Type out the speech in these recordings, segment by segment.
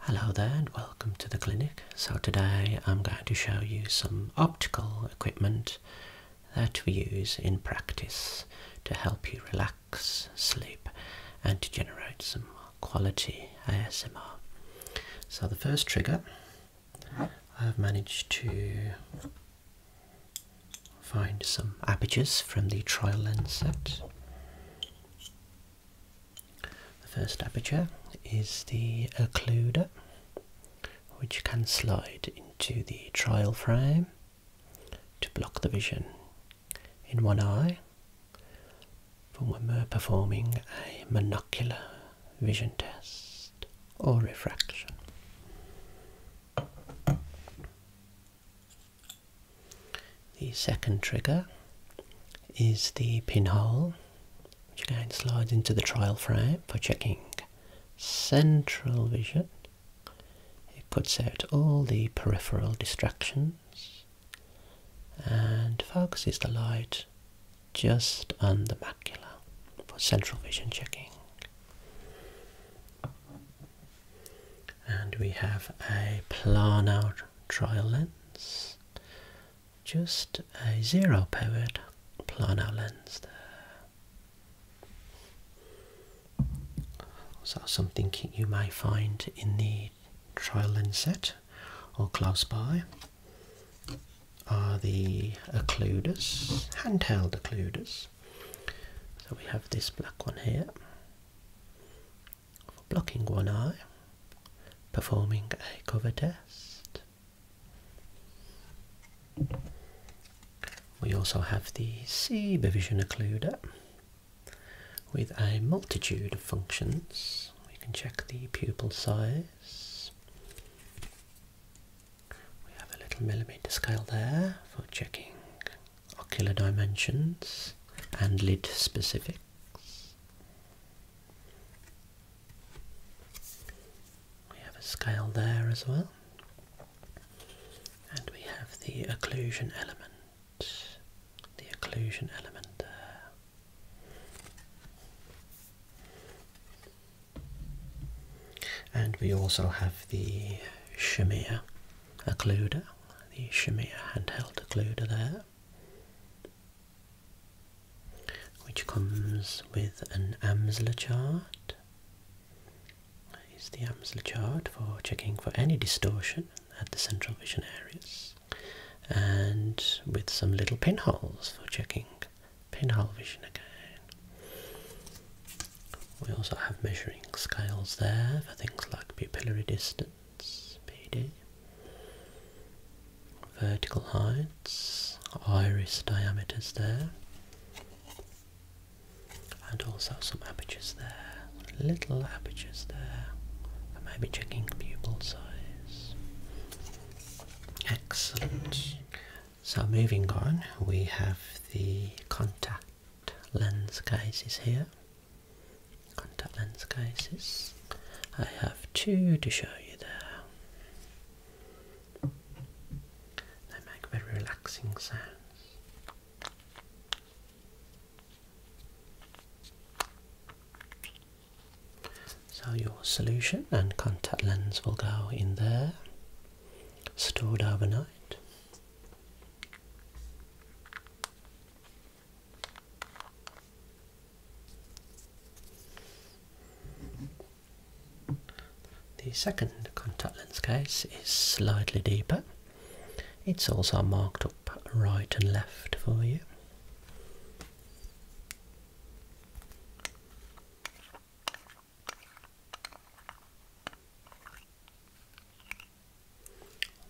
Hello there and welcome to the clinic. So today I'm going to show you some optical equipment that we use in practice to help you relax, sleep and to generate some quality ASMR. So the first trigger I've managed to find some apertures from the trial lens set the first aperture is the occluder, which can slide into the trial frame to block the vision in one eye for when we're performing a monocular vision test or refraction. The second trigger is the pinhole, which again slides into the trial frame for checking central vision. It cuts out all the peripheral distractions and focuses the light just on the macula for central vision checking and we have a planar trial lens just a zero powered planar lens there so something you may find in the trial lens set or close by are the occluders handheld occluders so we have this black one here blocking one eye, performing a cover test. We also have the c occluder with a multitude of functions. We can check the pupil size. We have a little millimeter scale there for checking ocular dimensions and lid specifics. We have a scale there as well. And we have the occlusion element. The occlusion element there. And we also have the shamir occluder, the Shamir handheld Acluder there, which comes with an Amsler chart. Is the Amsler chart for checking for any distortion at the central vision areas, and with some little pinholes for checking pinhole vision again. We also have measuring scales there for things like pupillary distance Speedy, Vertical heights, iris diameters there, and also some apertures there, little apertures there, and maybe checking pupil size. Excellent. So moving on, we have the contact lens cases here. Contact lens cases. I have two to show you there. They make very relaxing sounds. So your solution and contact lens will go in there, stored overnight. The second contact lens case is slightly deeper. It's also marked up right and left for you.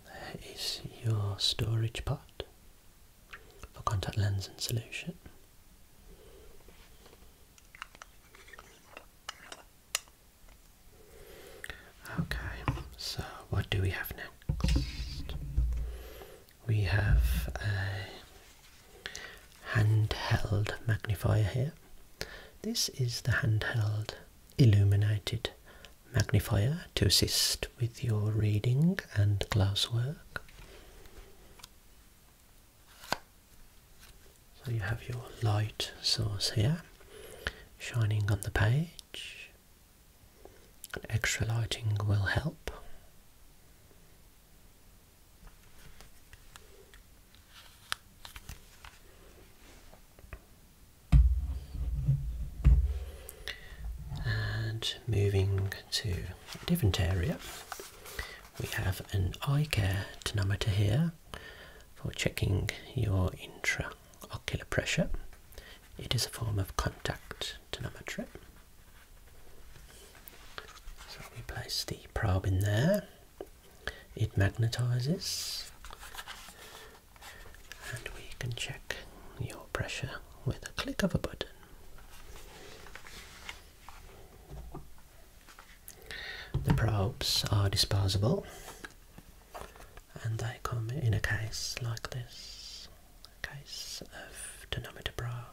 There is your storage pot for contact lens and solution. Okay, so what do we have next? We have a handheld magnifier here. This is the handheld illuminated magnifier to assist with your reading and glasswork. So you have your light source here, shining on the page. Extra lighting will help. And moving to a different area, we have an eye care tonometer here for checking your intraocular pressure. It is a form of contact tonometry. So we place the probe in there, it magnetizes and we can check your pressure with a click of a button. The probes are disposable and they come in a case like this, case of tonometer probes.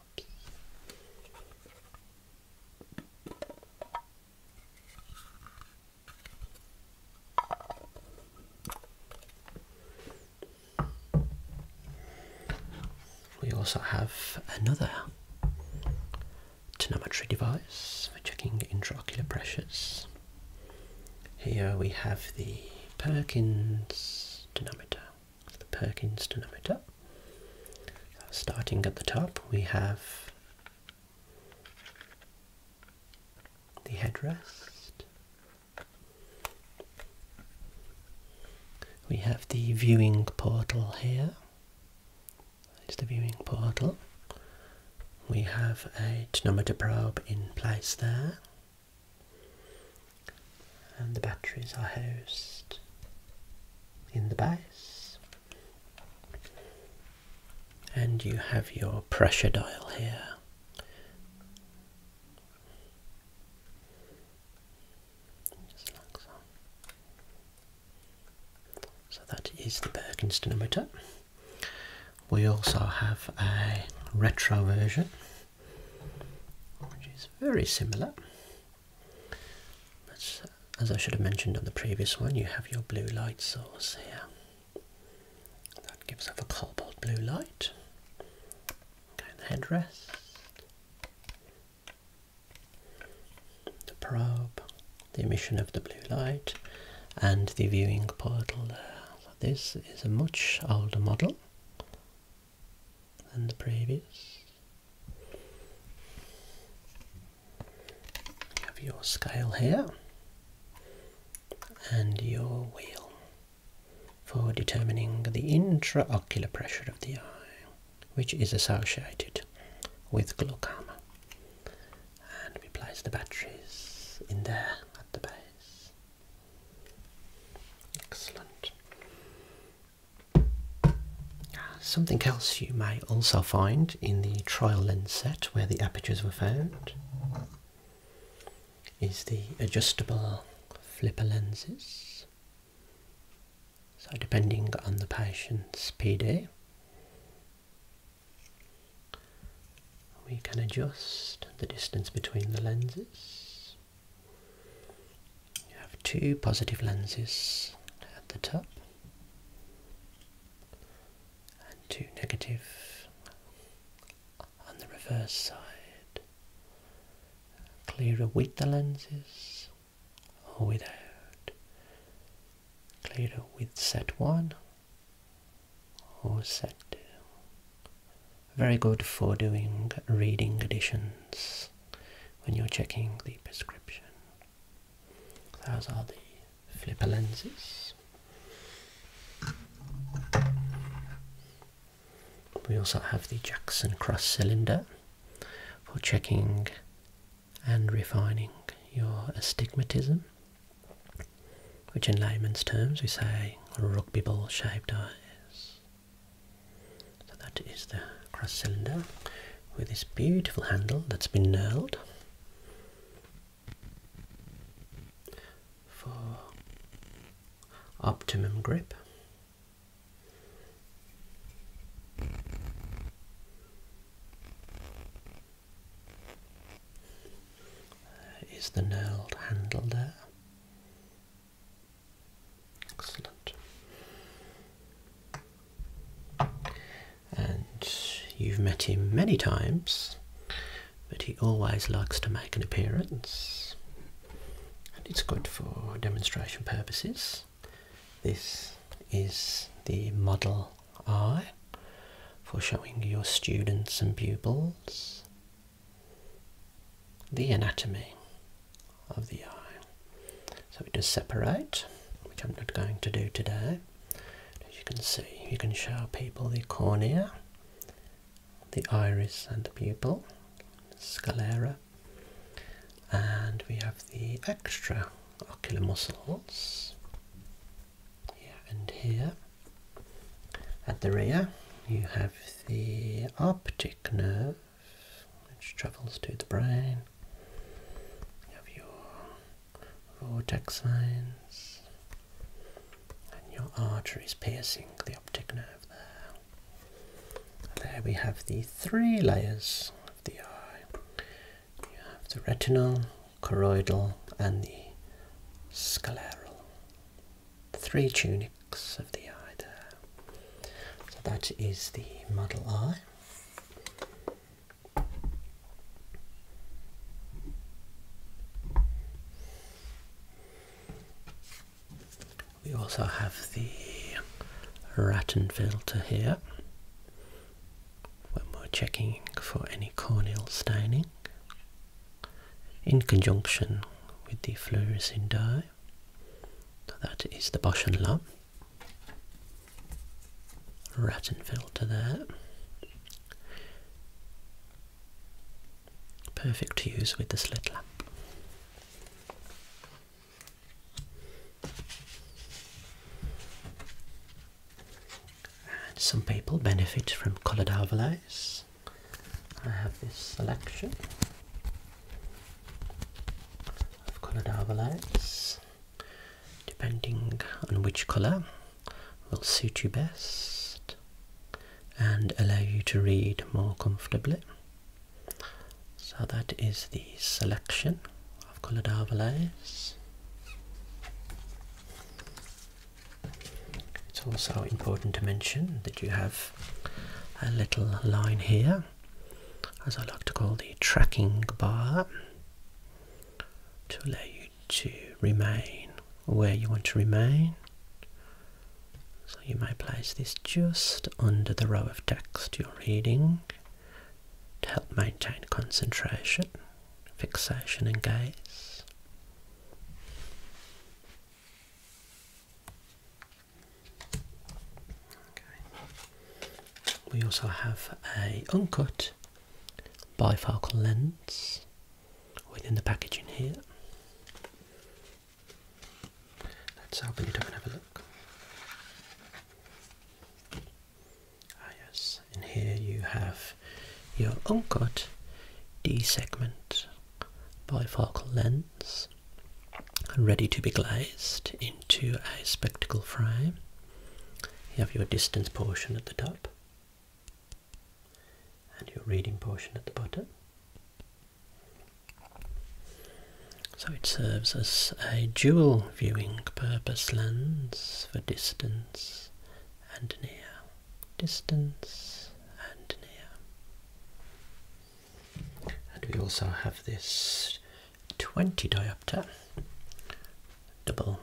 We also have another tonometry device for checking intraocular pressures. Here we have the Perkins tonometer. The Perkins tonometer. Starting at the top, we have the headrest. We have the viewing portal here. It's the viewing portal. We have a tonometer probe in place there. And the batteries are housed in the base and you have your pressure dial here. So that is the Bergen stenometer. We also have a retro version, which is very similar. as I should have mentioned on the previous one, you have your blue light source here. That gives us a cobalt blue light. Okay, the headrest. The probe, the emission of the blue light, and the viewing portal this is a much older model than the previous. have your scale here and your wheel for determining the intraocular pressure of the eye, which is associated with glaucoma. And we place the batteries in there at the base. Excellent. Ah, something else you may also find in the trial lens set where the apertures were found is the adjustable flipper lenses. So depending on the patient's PD, we can adjust the distance between the lenses. You have two positive lenses at the top and two negative on the reverse side. Clearer with the lenses or without. Clearer with set one or set two. Very good for doing reading additions when you're checking the prescription. Those are the flipper lenses. We also have the Jackson cross cylinder for checking and refining your astigmatism, which in layman's terms we say rugby ball shaped eyes. So that is the cross cylinder with this beautiful handle that's been knurled for optimum grip. Is the knurled handle there? Excellent and you've met him many times, but he always likes to make an appearance, and it's good for demonstration purposes. This is the model eye for showing your students and pupils the anatomy of the eye. So we does separate, which I'm not going to do today. As you can see, you can show people the cornea, the iris and the pupil, sclera, and we have the extra ocular muscles here and here. At the rear, you have the optic nerve, which travels to the brain. have your vortex lines, and your artery is piercing the optic nerve there. There we have the three layers of the eye. You have the retinal, choroidal, and the scleral. Three tunics of the eye there. So that is the model eye. We also have the Rattan filter here we're checking for any corneal staining in conjunction with the fluorescein dye. that is the Bosch lamp. Rattenfilter there. Perfect to use with the slit lamp. some people benefit from coloured overlays. I have this selection of coloured overlays depending on which colour will suit you best and allow you to read more comfortably. So that is the selection of coloured overlays. It's also important to mention that you have a little line here, as I like to call the tracking bar, to allow you to remain where you want to remain. So you may place this just under the row of text you're reading to help maintain concentration, fixation and gaze. Okay. We also have a uncut bifocal lens within the packaging here. Let's open it up and have a look. Ah yes, and here you have your uncut D-segment bifocal lens ready to be glazed into a spectacle frame. You have your distance portion at the top and your reading portion at the bottom. So it serves as a dual viewing purpose lens for distance and near. Distance and near. And we also have this 20 diopter double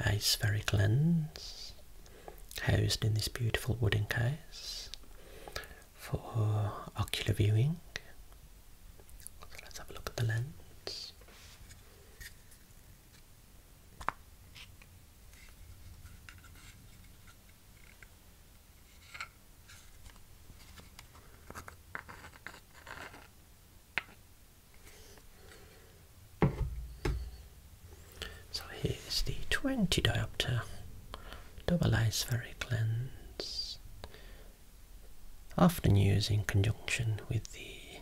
ice lens housed in this beautiful wooden case for ocular viewing. let's have a look at the lens. So here's the 20 diopter double A lens, often used in conjunction with the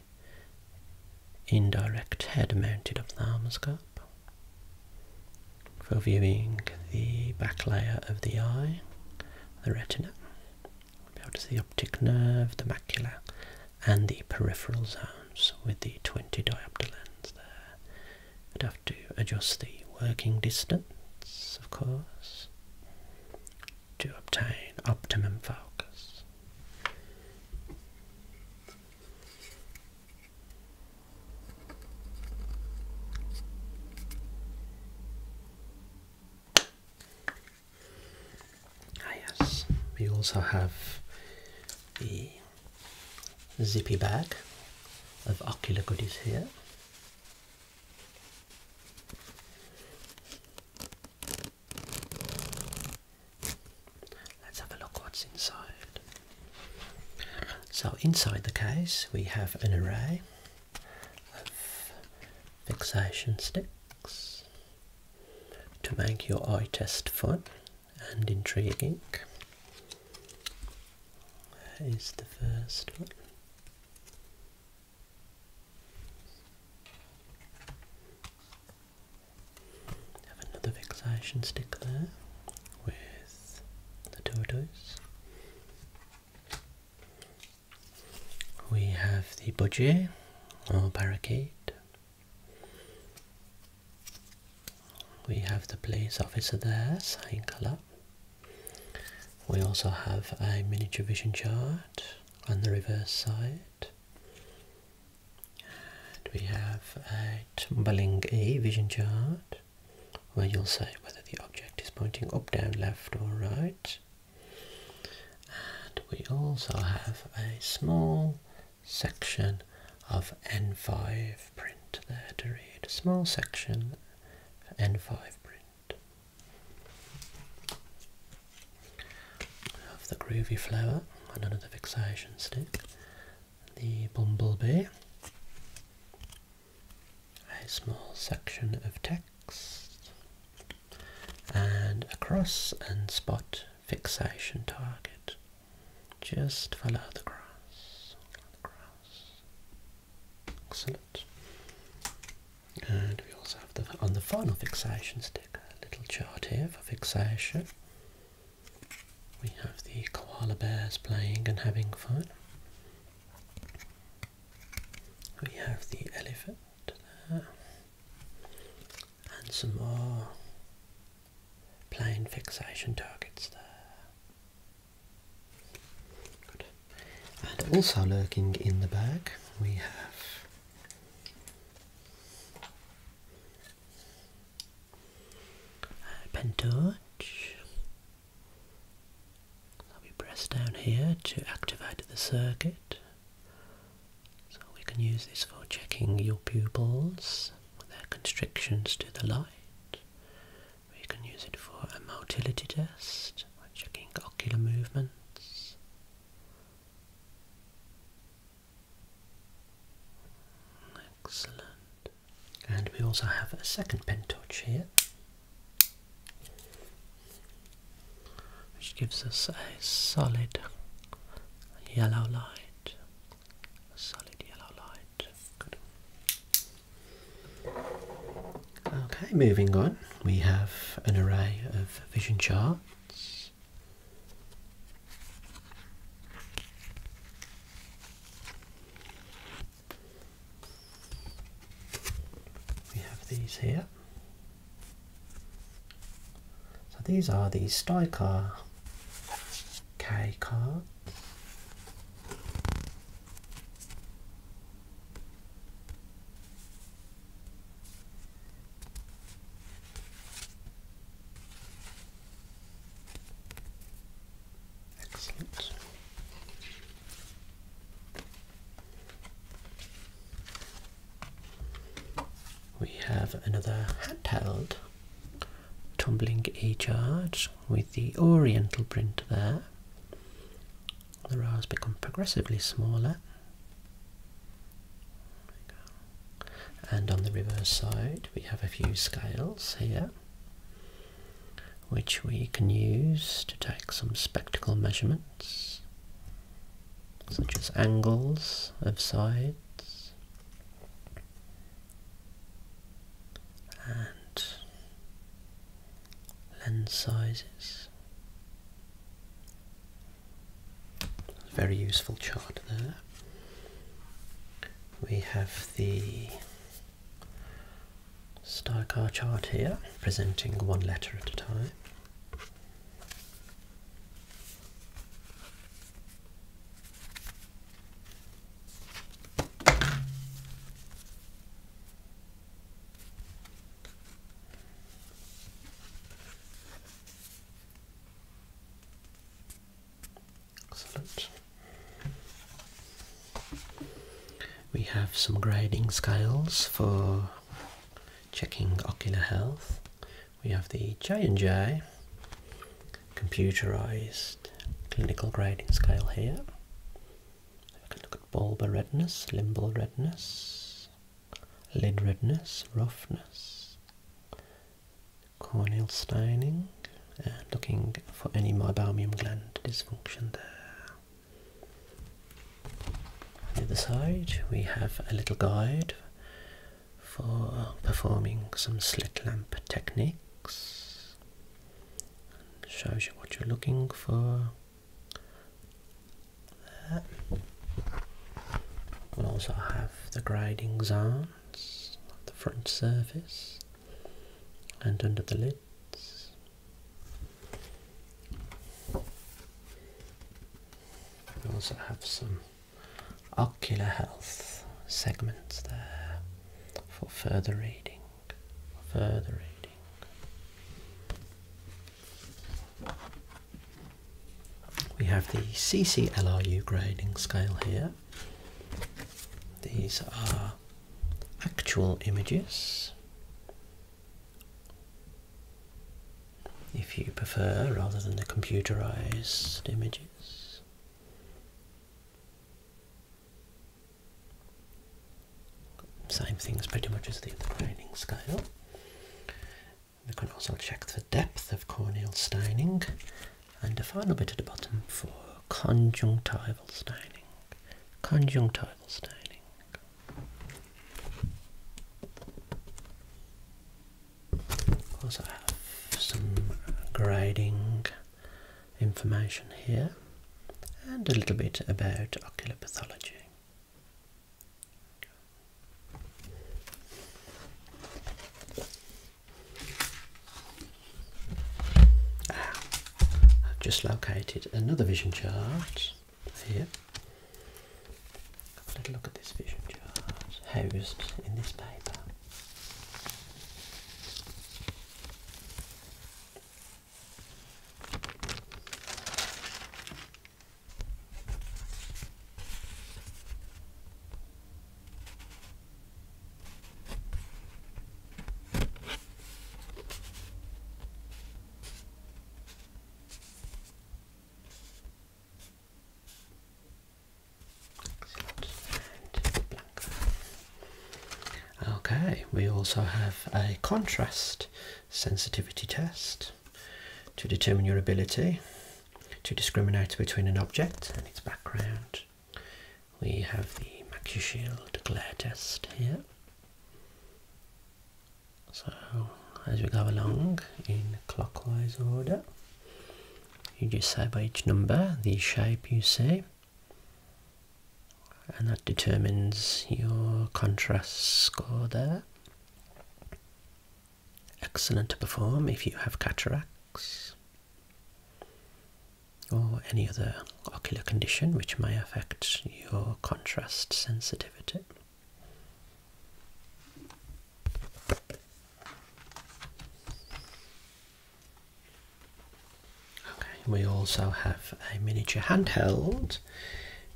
indirect head mounted ophthalmoscope for viewing the back layer of the eye, the retina. Be able to see the optic nerve, the macula, and the peripheral zones with the 20 diopter lens there. I'd have to adjust the working distance, of course, to obtain optimum focus. Ah yes, we also have the zippy bag of ocular goodies here. Let's have a look what's inside. So inside the case we have an array of fixation sticks to make your eye test fun and intriguing. That is the first one. Have another fixation stick with the tortoise. We have the budgie or barricade. We have the police officer there, sign colour. We also have a miniature vision chart on the reverse side. And we have a tumbling A vision chart where you'll say whether the object is pointing up, down, left or right and we also have a small section of N5 print there to read. A small section for N5 print. of the groovy flower and another fixation stick. The bumblebee. A small section of text. And a cross and spot fixation target. Just follow the cross. Follow Excellent. And we also have the on the final fixation stick a little chart here for fixation. We have the koala bears playing and having fun. We have the elephant there and some more plane fixation targets there. Good. And also lurking in the bag we have a pentorch. I'll be pressed down here to activate the circuit. So we can use this for checking your pupils, their constrictions to the light. We can use it for a motility test, checking ocular movements. Excellent. And we also have a second pen torch here which gives us a solid yellow light. solid yellow light. Good. Okay, moving on, we have an array of vision charts. We have these here. So these are the Stycar K cards. Excellent. We have another handheld tumbling e-charge with the oriental print there. The rows become progressively smaller. And on the reverse side we have a few scales here which we can use to take some spectacle measurements such as angles of sides and lens sizes. Very useful chart there. We have the star car chart here, presenting one letter at a time. Excellent. We have some grading scales for checking ocular health. We have the J&J computerized clinical grading scale here. We can look at bulbar redness, limbal redness, lid redness, roughness, corneal staining, and looking for any meibomian gland dysfunction there. On the other side we have a little guide for performing some slit lamp techniques. And shows you what you're looking for. we also have the grading zones, the front surface and under the lids. We also have some ocular health segments there for further reading. Further reading. We have the CCLRU grading scale here. These are actual images if you prefer, rather than the computerized images. Same things pretty much as the graining scale. We can also check the depth of corneal staining and a final bit at the bottom for conjunctival staining. Conjunctival staining. I have some grading information here and a little bit about ocular pathology. Ah, I've just located another vision chart here. Have a look at this vision jars housed in this paper. Okay, we also have a contrast sensitivity test to determine your ability to discriminate between an object and its background. We have the MacuShield glare test here. So as we go along in clockwise order, you just say by each number the shape you see, and that determines your contrast score there. Excellent to perform if you have cataracts or any other ocular condition which may affect your contrast sensitivity we also have a miniature handheld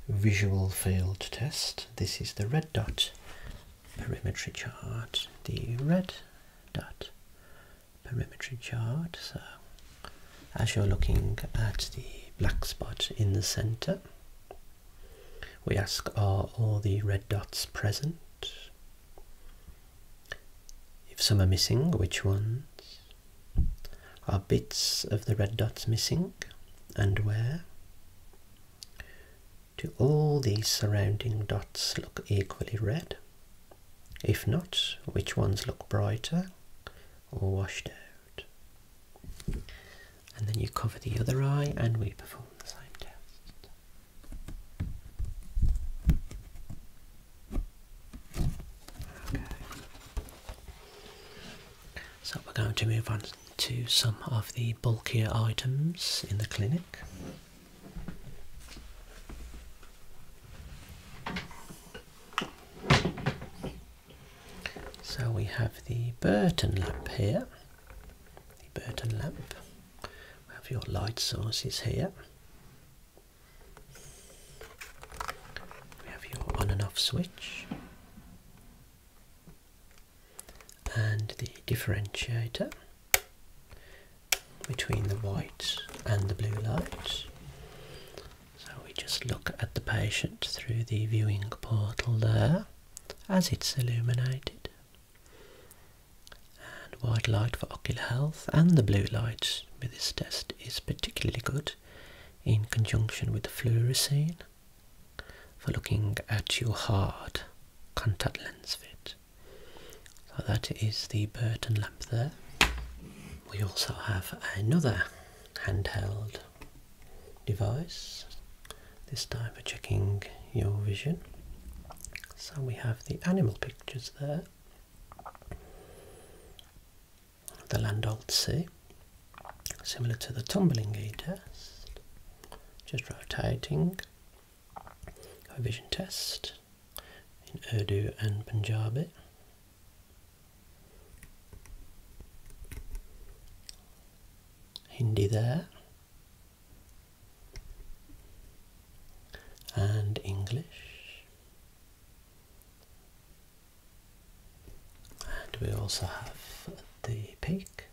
visual field test. This is the red dot perimetry chart. The red dot perimetry chart. So, as you're looking at the black spot in the center, we ask are all the red dots present? If some are missing, which ones? Are bits of the red dots missing and where? Do all these surrounding dots look equally red? If not, which ones look brighter or washed out. And then you cover the other eye and we perform the same test. So we're going to move on to some of the bulkier items in the clinic. So we have the Burton lamp here, the Burton lamp. We have your light sources here. We have your on and off switch. And the differentiator between the white and the blue light. So we just look at the patient through the viewing portal there as it's illuminated. And white light for ocular health and the blue light with this test is particularly good in conjunction with the fluorescein for looking at your hard contact lens fit. So that is the Burton lamp there. We also have another handheld device. This time for checking your vision. So we have the animal pictures there the Landolt C, similar to the tumbling E test, just rotating. Our vision test in Urdu and Punjabi. Hindi there. And English. And we also have the peak.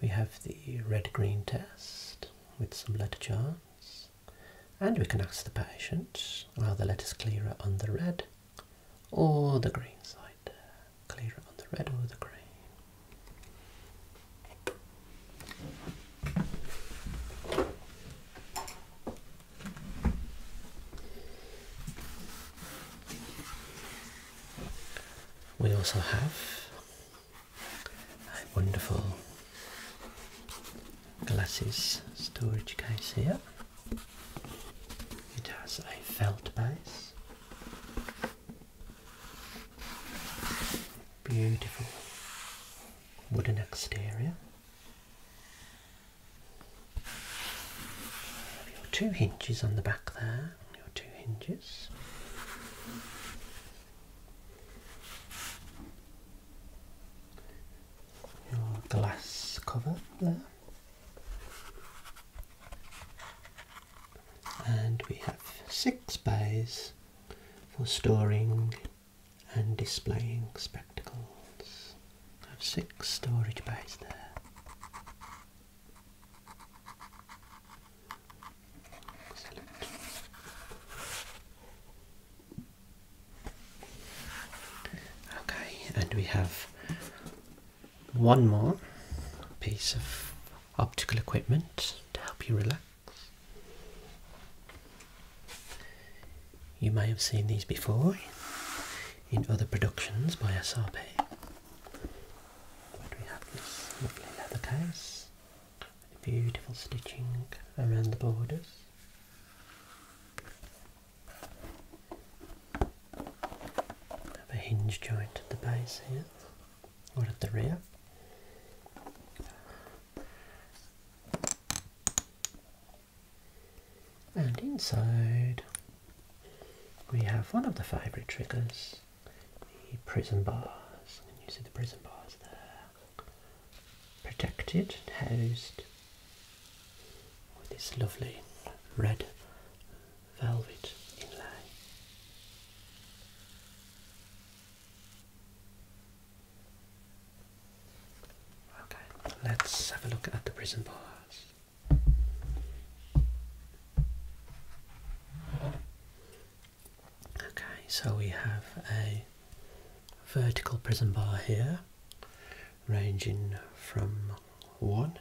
We have the red-green test with some letter charts. And we can ask the patient, are the letters clearer on the red or the green side there, clear on the red or the green. We also have a wonderful glasses storage case here. It has a felt base. Beautiful wooden exterior. Your two hinges on the back there. Your two hinges. Your glass cover there and we have six bays for storing and displaying spectacles. I have six storage bays there. Okay, and we have one more piece of optical equipment to help you relax. You may have seen these before in other productions by SRP. But we have this lovely leather case with beautiful stitching around the borders. Have a hinge joint at the base here, or at the rear. And inside we have one of the favourite triggers, the prison bars. And you see the prison bars there. Protected, housed with this lovely red velvet inlay. Okay, let's have a look at the prison bars. Okay, so we have a vertical prison bar here ranging from 1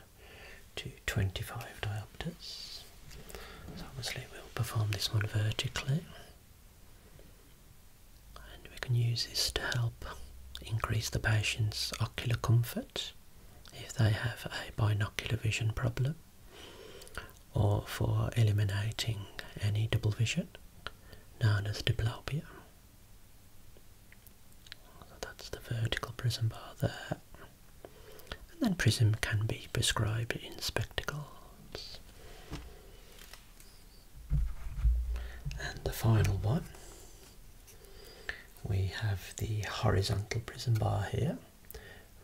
to 25 diopters. So obviously we'll perform this one vertically and we can use this to help increase the patient's ocular comfort if they have a binocular vision problem or for eliminating any double vision known as diplopia that's the vertical prism bar there. And then prism can be prescribed in spectacles. And the final one, we have the horizontal prism bar here,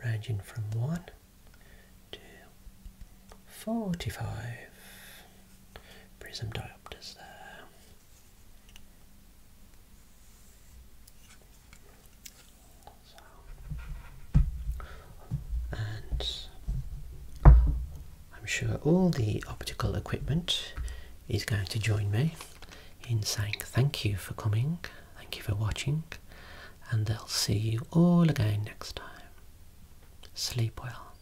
ranging from 1 to 45 prism diopters there and I'm sure all the optical equipment is going to join me in saying thank you for coming, thank you for watching, and they'll see you all again next time. Sleep well.